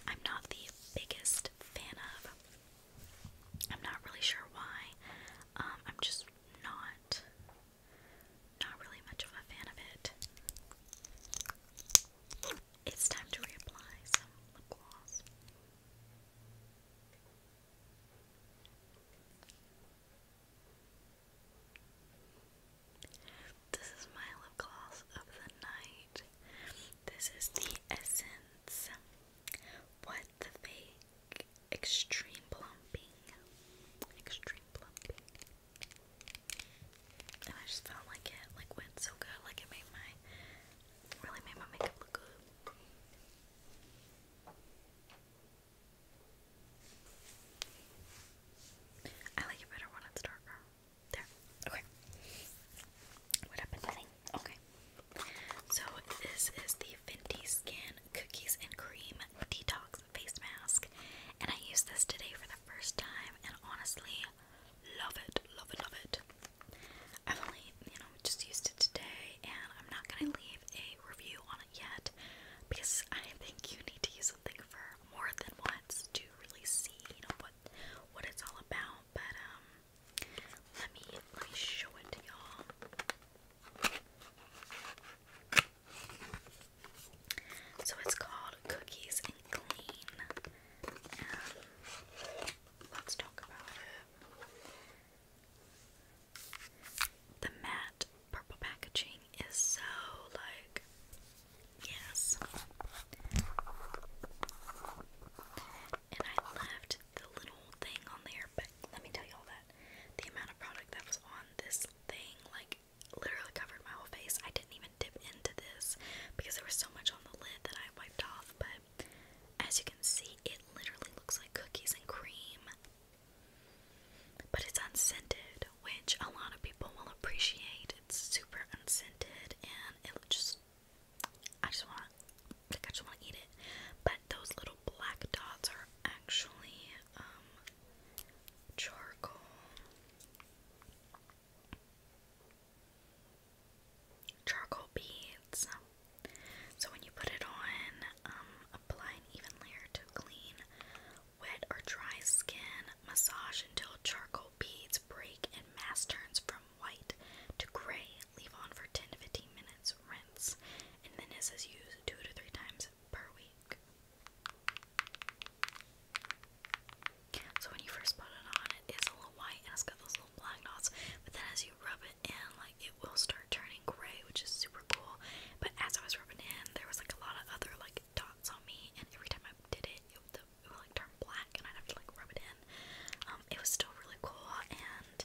I'm not the biggest fan of. I'm not really sure why. Um, I'm just not, not really much of a fan of it. It's time to reapply some lip gloss. This is my lip gloss of the night. This is the Essence What the Fake Extreme Plumping. Extreme Plumping. And I just felt like it like went so good. Like it made my really made my makeup look good. I like a better when it's darker. There. Okay. What happened? Nothing. Okay. So this is the Fenty Cookies and Cream Detox Face Mask. And I used this today for the first time and honestly love it. Love it, love it. I've only, you know, just used it today and I'm not gonna leave leave a review on it yet because I think you need to use something for more than once to really see, you know, what what it's all about. But um let me let me show it to y'all. So it's called Cookies and Clean. Um, let's talk about it. The matte purple packaging is so like, yes. And I left the little thing on there, but let me tell you all that. The amount of product that was on this thing, like, literally covered my whole face. I didn't even dip into this because there was so much on the lid that I wiped off, but as you can see, it literally looks like cookies and cream. But it's unscented, which a lot of people will appreciate. It's super unscented and it just I just want I just want to eat it. But those little black dots are actually um, charcoal. Charcoal beads. So when you put it on, um, apply an even layer to clean, wet or dry skin. Massage until charcoal beads break and mass turns from white to gray. Leave on for 10 to 15 minutes. Rinse. And then this is used two to three times per week. So when you first put it on, it is a little white and it's got those little black dots. But then as you rub it like it will start turning gray, which is super cool. But as I was rubbing in, there was like a lot of other like dots on me, and every time I did it, it would, like turn black, and I'd have to like rub it in. Um, it was still really cool, and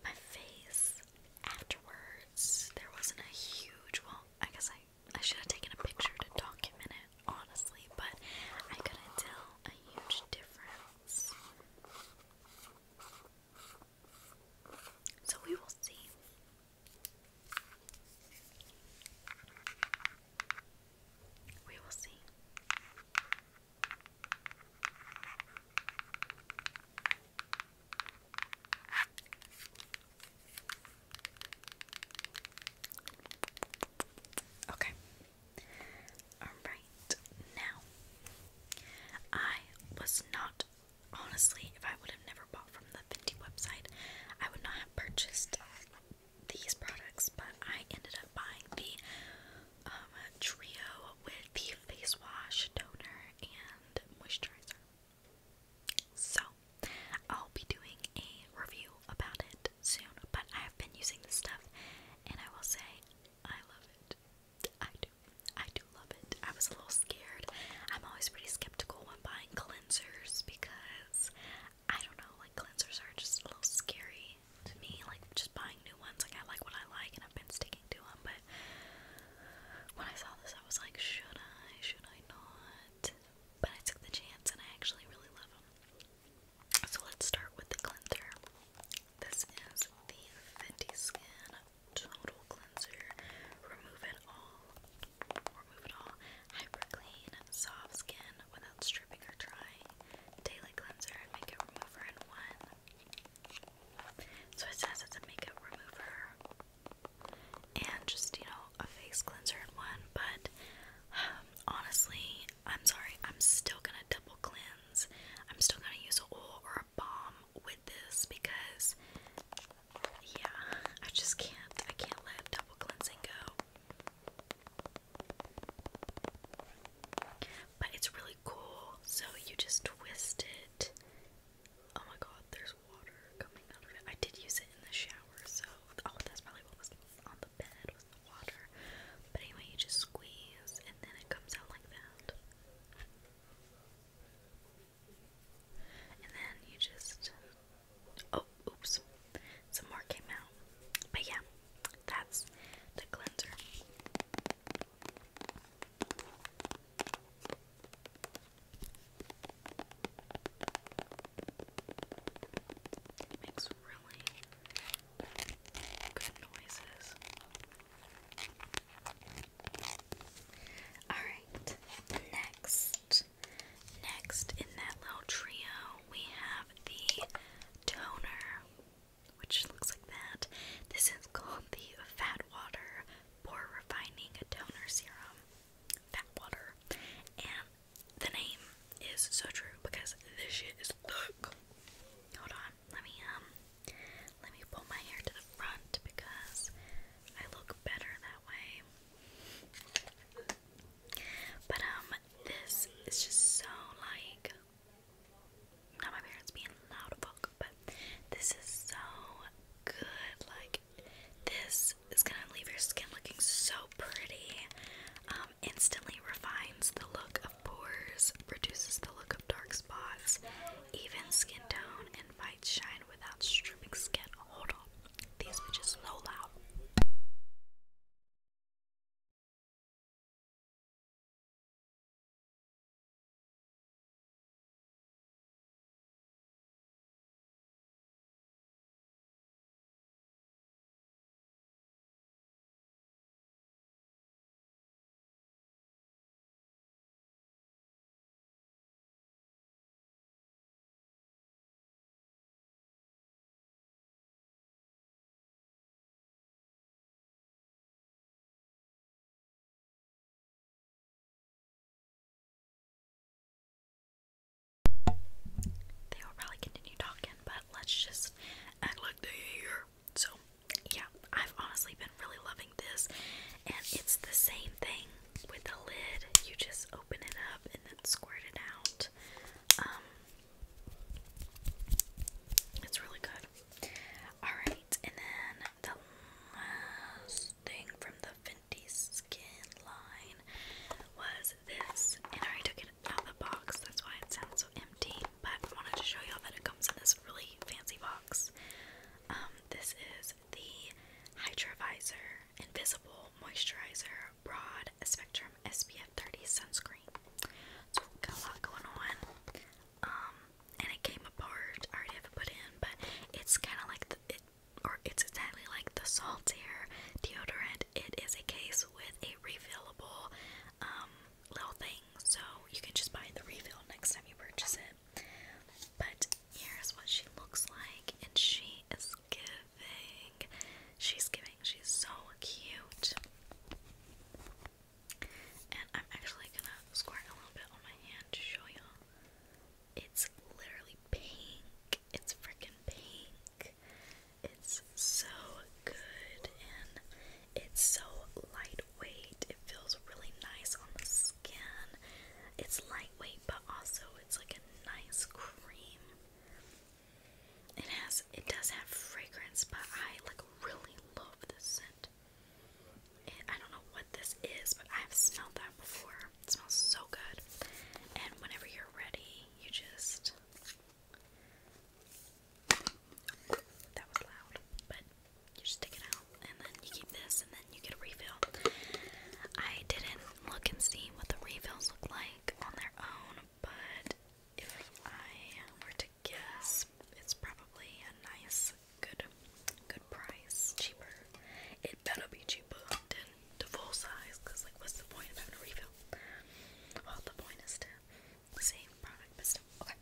my face afterwards, there wasn't a huge. Well, I guess I I should have taken a picture to document it, honestly, but I couldn't tell a huge difference. So we will see. We will see. Okay. All right. Now, I was not honestly, if I would have never bought from the Fenty website, I would not have purchased these products, but I ended up buying the um, trio with the face wash, toner, and moisturizer. So, I'll be doing a review about it soon, but I have been using this stuff and I will say I love it. I do. I do love it. I was a little scared. I'm always pretty skeptical when buying cleansers because I don't know, like cleansers are just a little scary to me. Like just buying new ones, like I like what I like and I've been sticking to them. But when I saw this, I was like, should I? Should I not? But I took the chance and I actually really love them. So let's start with the cleanser. This is the Fenty Skin Total cleanser. Remove it all. Remove it all. Hyper clean, soft skin without stripping or drying. Daily cleanser and makeup remover in one. So it says it's a makeup remover and just, you know, a face cleanser in one. But um, honestly, I'm sorry, I'm still gonna double cleanse. I'm still gonna use a oil or a balm with this because yeah, I just can't. I can't let double cleansing go. But it's really cool. So you just twist it. Oh my god, there's water coming out of it. I did use it in the shower, so oh, that's probably what was on the bed was the water. But anyway, you just squeeze and then it comes out like that. And then you just oh, oops, some more came out. But yeah, that's the cleanser. makes really good noises. Alright, next. Next in that little trio, we have the toner, which looks like that. This is called the Fat Water Pore Refining Toner Serum. Fat Water. And the name is so true because this shit is look. Hold on, let me um let me pull my hair to the front because I look better that way. But um, this is just so like not my parents being loud but this is so good. Like this is gonna leave your skin looking so pretty. Um, instantly refines the look of pores, reduces the look of dark spots, even skin tone, and shine without stripping skin. Hold on. These bitches low loud. They will probably continue talking, but let's just act like they here. So, yeah, I've honestly been really loving this, and it's the same thing with a lid, you just open it up and then squirt it out. Um, it's really good. Alright, and then the last thing from the Fenty Skin line was this. And I already took it out of the box, that's why it sounds so empty. But I wanted to show y'all that it comes in this really fancy box. Um, this is is the Hydrovisor Invisible Moisturizer Broad Spectrum SPF 30 Sunscreen. a lot going on. Um, and it came apart. I already have it put in, but it's kind of like the, or it's exactly like the Saltaire deodorant. It is a case with a refillable um, little thing, so you can just buy the refill next time you purchase it. But here's what she looks like, and she is giving. She's giving. She's so cute. And I'm actually gonna squirt a little bit on my hand to show y'all. It's literally pink. It's freaking pink. It's so good and it's so lightweight. It feels really nice on the skin. It's light lightweight, but also it's like a nice cream. It has, it does have fragrance, but I like really love this scent. I don't know what this is, but I've smelled that before. It smells so good. And whenever you're ready, you just. That was loud, but you stick it out and then you keep this, and then you get a refill. I didn't look and see what the refills look like on their own, but if I were to guess, it's probably a nice, good, good price. Cheaper. It better be cheaper than the full size, because, like, what's the point of having a refill? Well, the point is to save product, but still. Okay.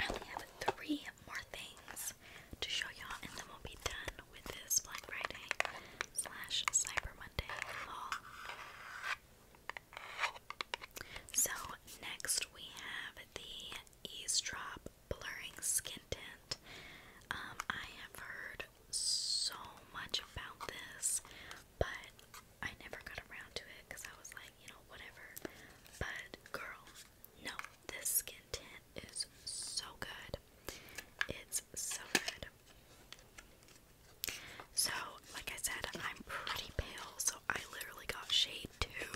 I only have three more things to show y'all, and then we'll be done with this Black Friday slash Cyber Monday haul. So next we have the Eavesdrop Blurring Skin Tint. Um, I have heard so much about this, but I never got around to it because I was like, you know, whatever. But girl, no, this skin tint is so good. It's so good. So, like I said, I'm pretty pale, so I literally got shade too,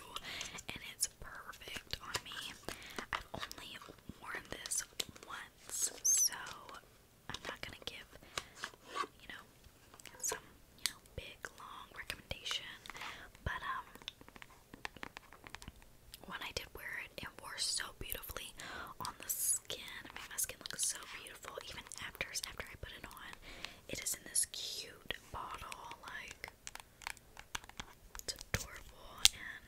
and it's perfect on me. I've only worn this once, so I'm not gonna give, you know, some, you know, big, long recommendation, but, um, when I did wear it, it wore so beautifully on the skin. I mean, my skin looks so beautiful even after after I put it on. It is in this cute bottle, like it's adorable and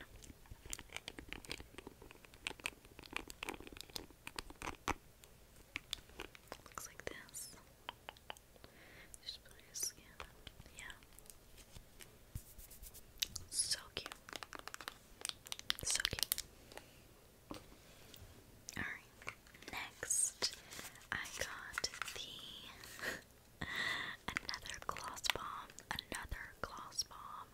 looks like this. Just put your skin. Yeah. So cute. So cute. Alright. Next I got the another gloss bomb. Another gloss bomb.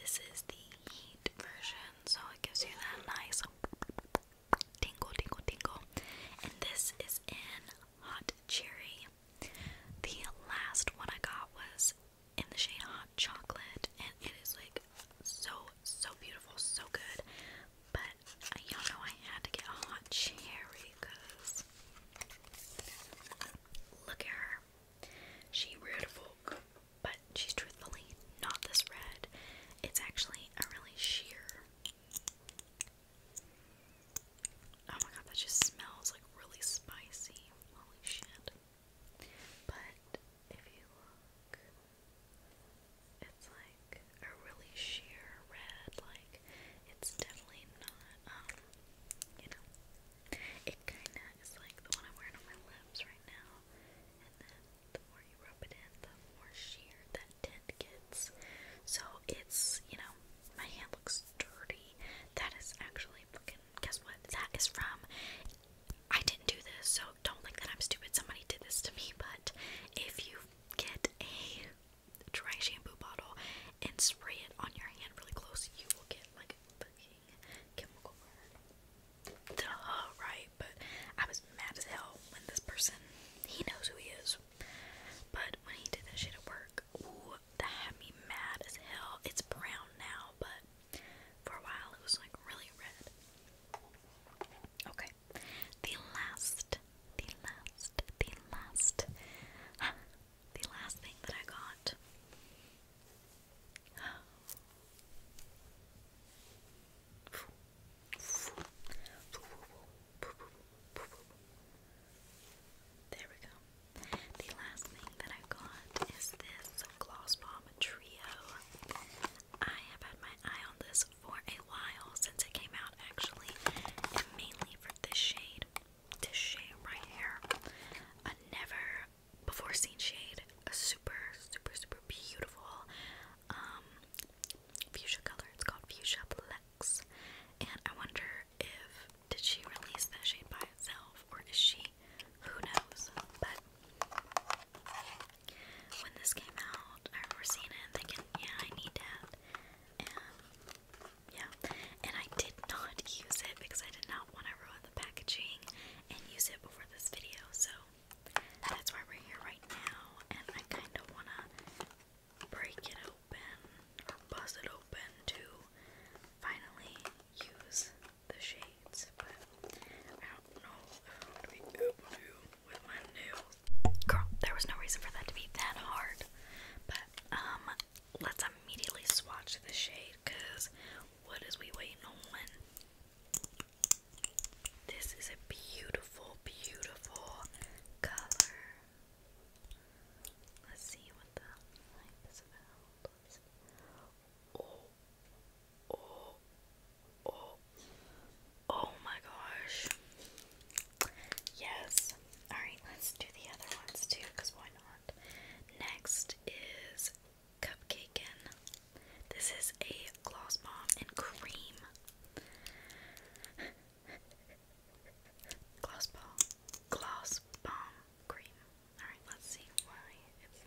This is the heat version, so it gives you that nice tingle tingle tingle. And this is in hot cherry the last one I got was in the shade Hot Chocolate, and it is like so, so beautiful, so good. But uh, y'all know I had to get a hot cherry because look at her. She red folk, but she's truthfully not this red. It's actually a really sheer Oh my god, that just smells like really spicy. Holy shit. But if you look, it's like a really sheer red. Like, it's definitely not, um, you know, it kind of is like the one I'm wearing on my lips right now. And then the more you rub it in, the more sheer that tint gets. So it's, you know, my hand looks dirty. That is actually fucking. Guess what? That is from. I didn't do this, so don't think that I'm stupid. Somebody did this to me, but if you get a dry shampoo bottle and spray it on your hand really close, you will get like a fucking chemical right? But I was mad as hell when this person, he knows who he is, but god, when he did that shit at work, ooh, that had me mad as hell. It's brown now, but for a while it was like really red. Okay, the last, the last, the last, the last thing that I got. There we go. The last thing that I got is this Gloss Bomb Trio. I have had my eye on this for a while since it came out, actually, and mainly for this shade. This shade right here. A never before seen shade. A super, super, super beautiful um, fuchsia color. It's called Fuchsia Plex. And I wonder if did she release that shade by itself or is she who knows? But when this came out, I have remember seeing it and thinking, yeah, I need that. And yeah. And I did not use it because I did not want to ruin the packaging and use it before this video. So that's why we're here right now. And I kind of want to break it open or bust it open to finally use the shades, but I don't know if I'm gonna be able to with my nails. Girl, there was no reason for that to be that hard. But um, let's immediately swatch the shade, cause what is we waiting on? This is a beautiful, beautiful color. Let's see what the hype is Oh, my gosh. Yes. Alright, let's do the other ones too, because why not? Next is Cupcaken. This is a gloss bomb and cream. gloss bomb. Gloss bomb cream. Alright, let's see why it's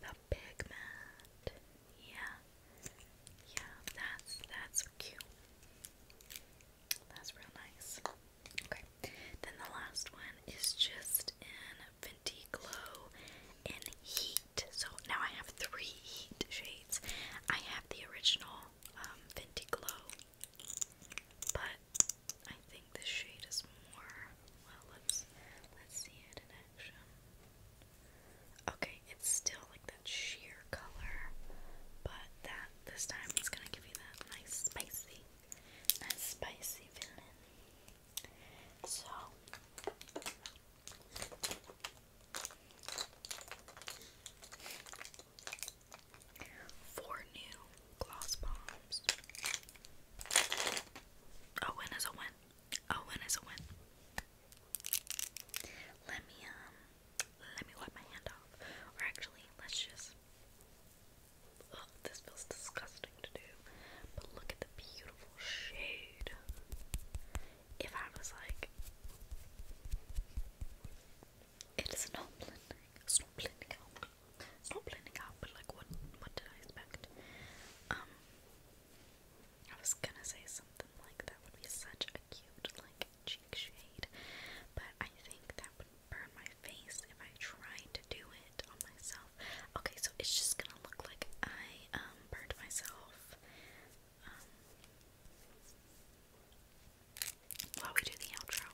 The pigment. Yeah. Yeah, that's that's cute. That's real nice. Okay. Then the last one is just in Fenty Glow in Heat. So now I have three Heat shades. I have the original um, Glow, but I think the shade is more. let's see it in action. Okay, it's still like that sheer color, but that this time it's gonna give you that nice spicy, nice spicy feeling. So. Four new gloss bombs. A win is a win. A win is a win. Let me um let me wipe my hand off. Or actually, let's just Ugh, this feels disgusting to do. But look at the beautiful shade if I was like, it is not blending, it's not blending out, it's not blending out, but like, what, what did I expect? Um, I was gonna say something like that would be such a cute, like, cheek shade, but I think that would burn my face if I tried to do it on myself. Okay, so it's just gonna look like I um, burned myself um, while we do the outro.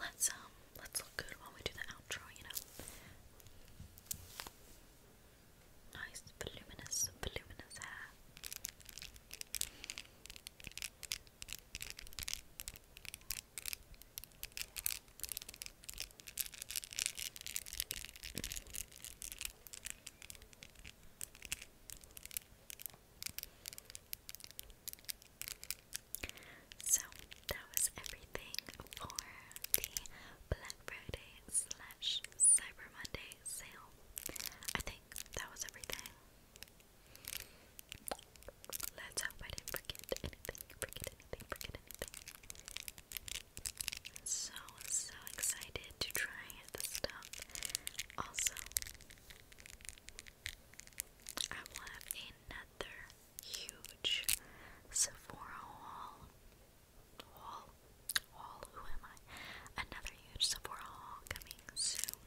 Let's um let's look good while we do the outro, you know. Nice voluminous voluminous hair. So that was everything for the Black Friday slash Cyber Monday sale. I think that was everything. Let's hope I didn't forget anything, forget anything, forget anything. So, so excited to try this stuff. Also, I will have another huge Sephora haul. Haul? Haul? Who am I? Another huge Sephora haul coming soon.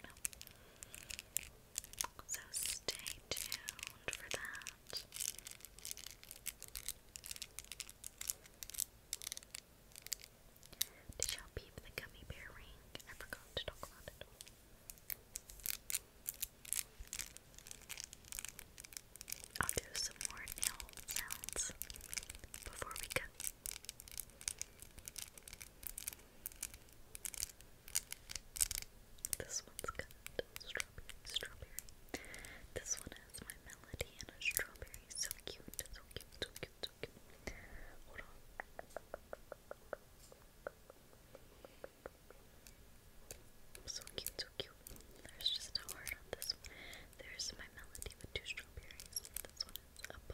So stay tuned for that. Did y'all peep the gummy bear ring? I forgot to talk about it. I'll do some more nail sounds before we cut. This one's strawberry, strawberry. This one has my melody and a strawberry. So cute, so cute, so cute, cheek. Hold So cute, so cute. There's just a heart on this one. There's my melody with two strawberries. This one is up.